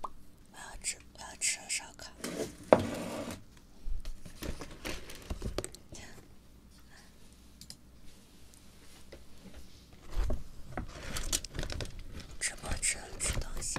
我要吃，我要吃烧烤。直播只能吃东西。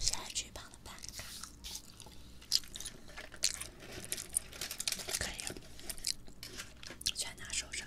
现在举报了半个，可以了，全拿手上。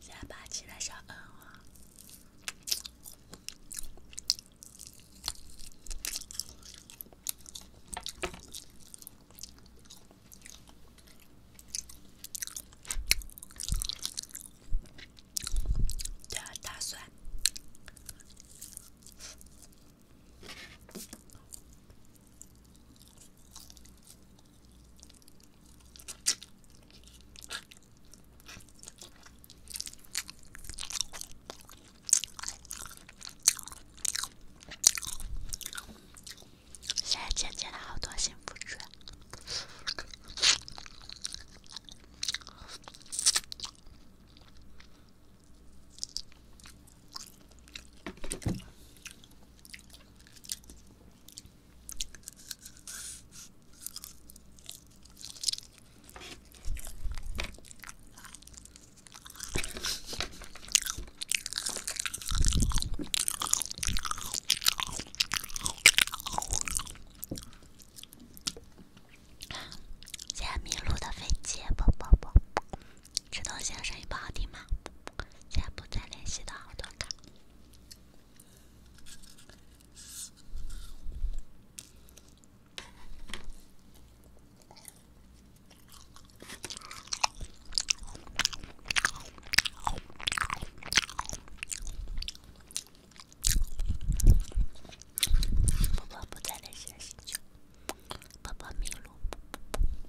下巴起来上。饿哦。对，大蒜。谢谢姐姐的好多幸福纸。加米路的飞机，啵啵啵。吃东西声音不好听吗？现在不再联系的好多个。宝宝不再联系，了，睡觉。宝宝迷路。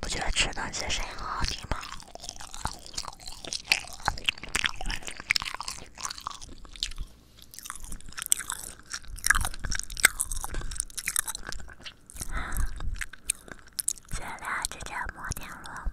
不觉得吃东西声音好听吗？咱俩之间磨摩天轮。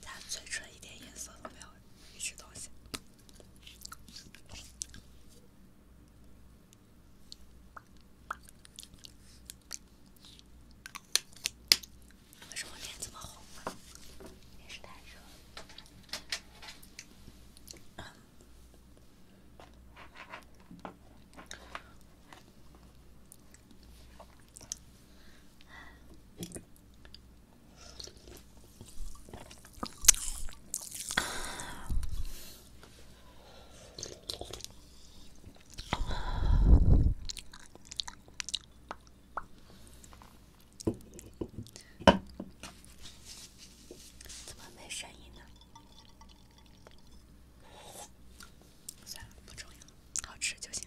咱嘴唇一点颜色都没有，吃东西。为什么脸这么红？也是太热了。怎么没声音呢？算了，不重要，好吃就行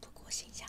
不过，心想。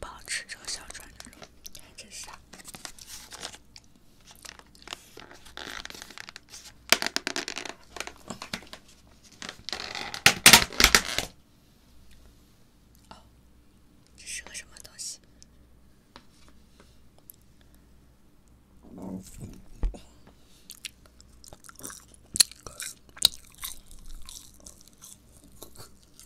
不好吃这个小船，你看这是啥？这是个什么东西？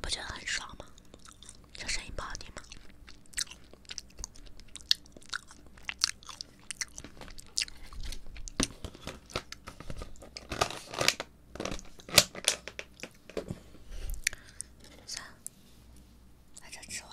不觉得很爽吗？这声音不好听吗？算了，把这吃完。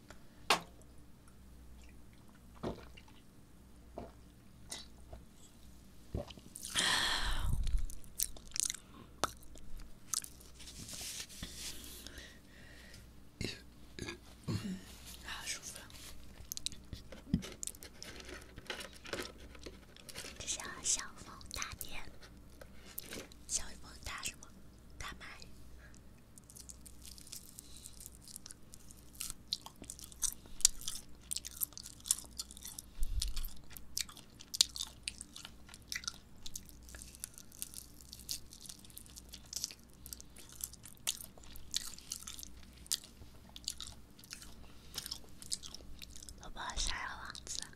舒服。这叫小风大点，小风大什么？大麦，萝卜，小鸭王子。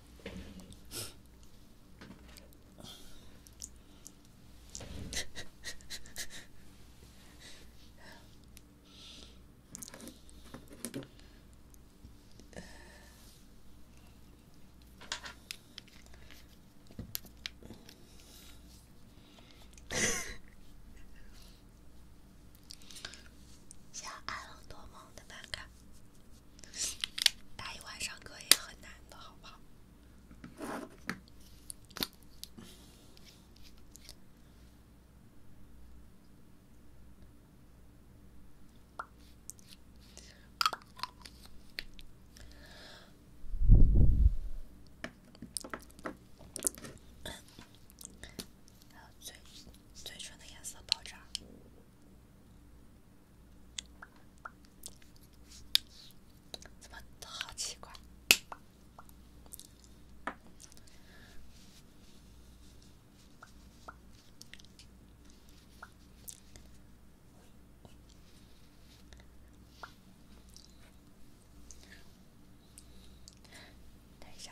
《加勒多梦》的版卡。打一晚上歌也很难的，好不好？还有嘴，嘴唇的颜色爆炸。怎么都好奇怪？等一下。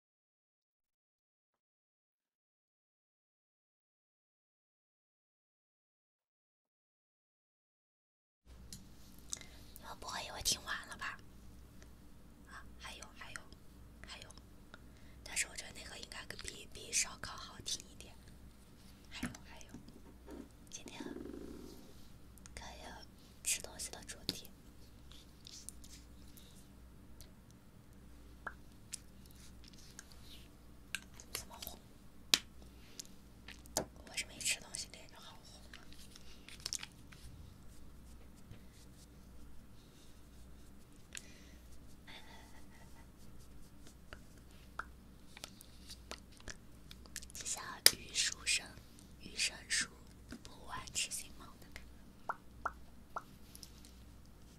你们不会以为听完了吧？啊，还有还有还有，但是我觉得那个应该比比烧烤好听一点。还有还有，今天关于吃东西的主题。怎么红？为什么一吃东西脸就好红？下雨书生，雨生书，不玩吃鸡猫的感觉。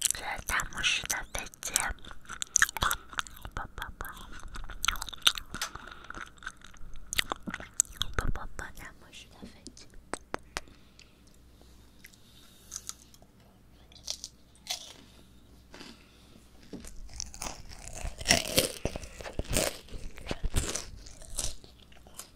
这大拇指的飞机，啵啵啵，啵啵啵，大拇指的飞机。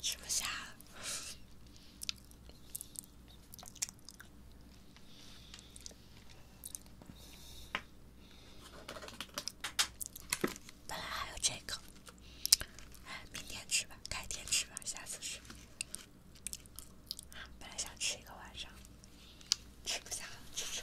吃不下了，本来还有这个，明天吃吧，改天吃吧，下次吃。本来想吃一个晚上，吃不下了，吃吃。